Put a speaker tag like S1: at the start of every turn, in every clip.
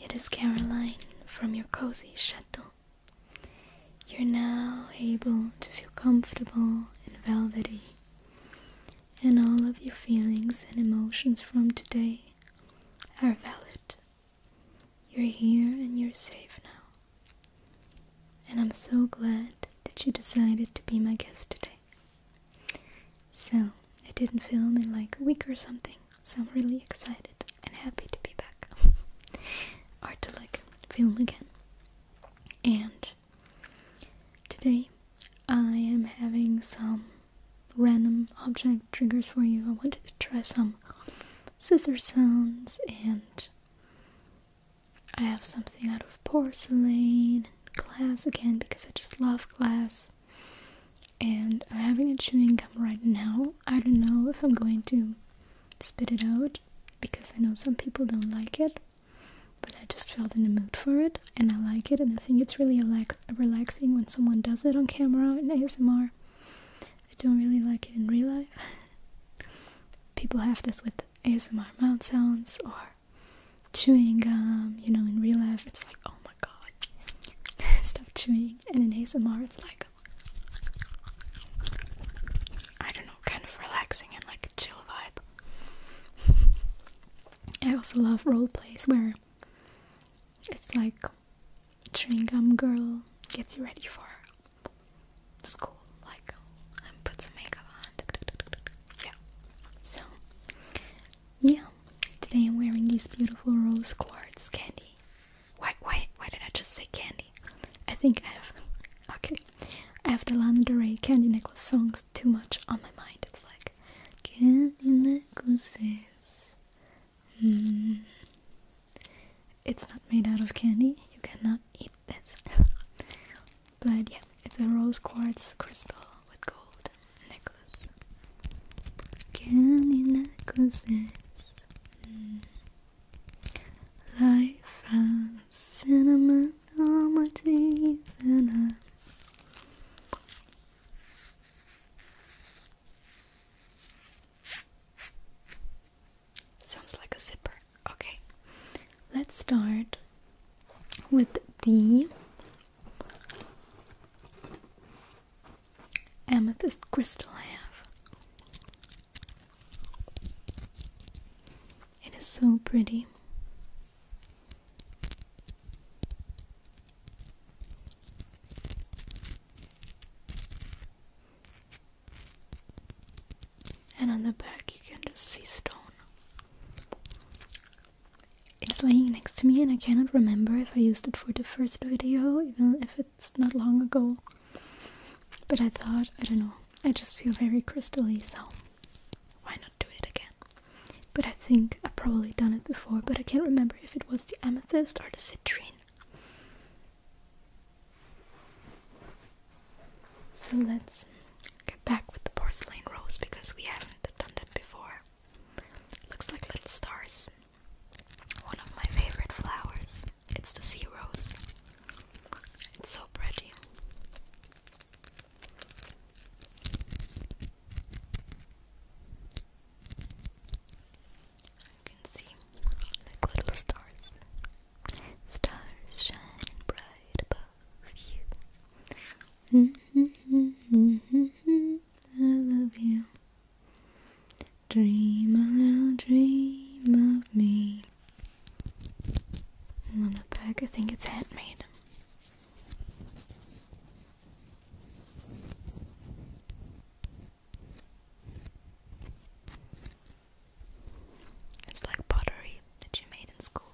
S1: It is Caroline from your cozy chateau. You're now able to feel comfortable and velvety, and all of your feelings and emotions from today are valid. You're here and you're safe now. And I'm so glad that you decided to be my guest today. So, I didn't film in like a week or something, so I'm really excited and happy to be back. or to like film again. And today I am having some random object triggers for you. I wanted to try some scissor sounds and I have something out of porcelain and glass again because I just love glass and I'm having a chewing gum right now. I don't know if I'm going to spit it out because I know some people don't like it, but I just felt in the mood for it and I like it. And I think it's really relaxing when someone does it on camera in ASMR. I don't really like it in real life. people have this with ASMR mouth sounds or chewing gum, you know, in real life it's like, oh my god, stop chewing. And in ASMR it's like, I don't know, kind of relaxing and like a chill vibe. I also love role plays where it's like chewing gum girl gets you ready for school, like, and put some makeup on. Yeah. So, yeah, today I'm wearing these beautiful rose quartz candy. Why, why, why did I just say candy? I think I have. Okay, I have the Lana Del candy necklace songs too much on my mind. It's like candy necklaces. Hmm. It's not made out of candy. You cannot eat this. But yeah, it's a rose quartz crystal with gold necklace. Candy necklaces. Life and cinnamon on my teeth and I Sounds like a zipper. Okay, let's start with the amethyst crystal I have. It is so pretty and on the back you can just see stone. It's laying next to me and I cannot remember if I used it for the first video, even if it's not long ago. But I thought, I don't know, I just feel very crystally, so why not do it again? But I think i probably done it before, but I can't remember if it was the amethyst or the citrine. So let's get back with the porcelain rose because we haven't done that before. It looks like little stars. One of my favorite flowers. It's the sea rose. It's so pretty. You can see like little stars. Stars shine bright above love mm-hmm. you. I love you. Dream a little dream of me. on the back, I think it's handmade. It's like pottery that you made in school.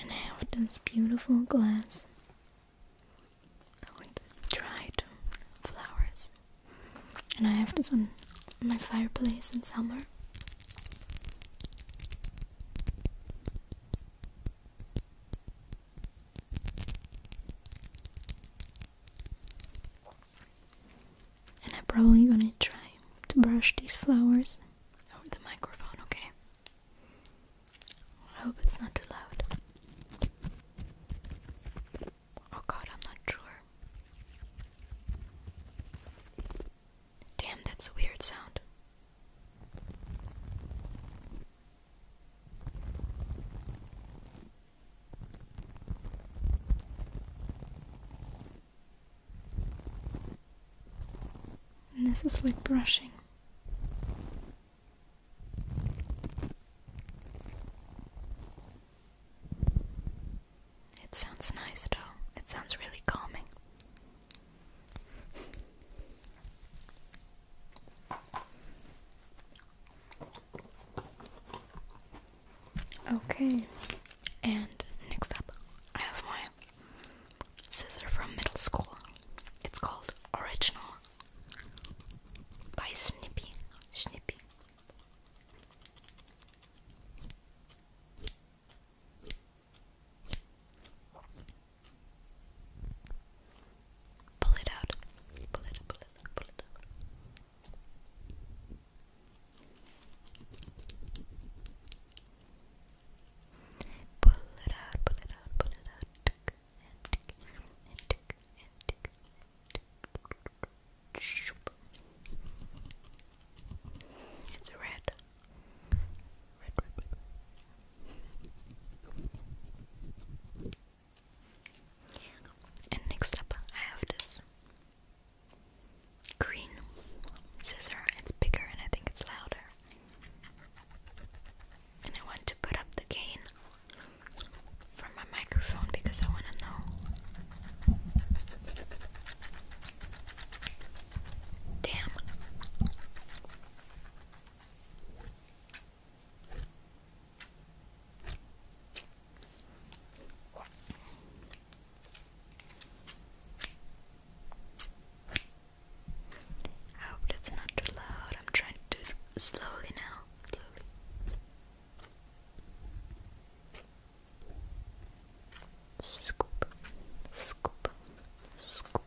S1: And I have this beautiful glass with dried flowers. And I have this on my fireplace in summer. And I'm probably gonna try to brush these flowers over the microphone, okay? I hope it's not too loud. Oh god, I'm not sure. Damn, that's a weird sound. And this is like brushing. It sounds nice though. It sounds really calming. Okay, and next up, I have my scissor from middle school. It's called Original by Snippy. Snippy. Pull it out. Pull it, pull it, pull it out. Pull it out, pull it out, pull it out. Tick, and tick, and tick, and tick, and tick. Shoop. It's red red, red, And next up, I have this green scissor. It's bigger and I think it's louder. And I want to put up the gain from my microphone because I want to know. Damn. I hope that's not too loud. I'm trying to slowly now. Scoop, scoop, scoop.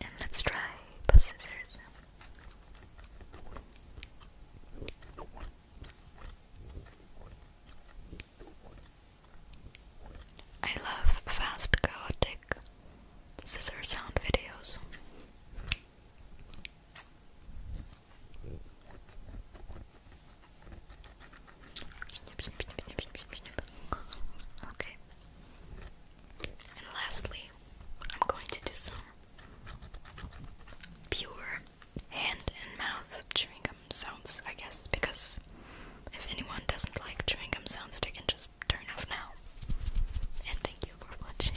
S1: And let's try both scissors. I love fast, chaotic scissor sound videos. Okay. And lastly, I'm going to do some pure hand and mouth chewing gum sounds, I guess, because if anyone doesn't like chewing gum sounds, they can just turn off now. And thank you for watching.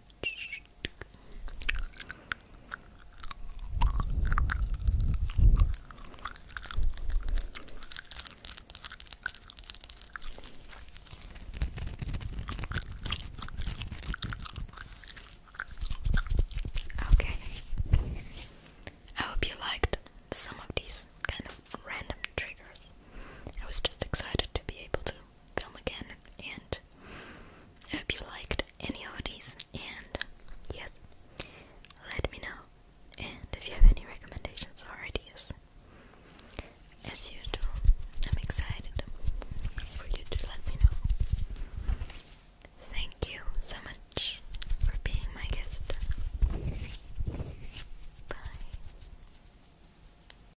S1: Okay. I hope you liked some of these kind of random triggers. I was just excited to be able to film again, and I hope you liked any of and yes, let me know, and if you have any recommendations or ideas. As usual, I'm excited for you to let me know. Thank you so much for being my guest. Bye.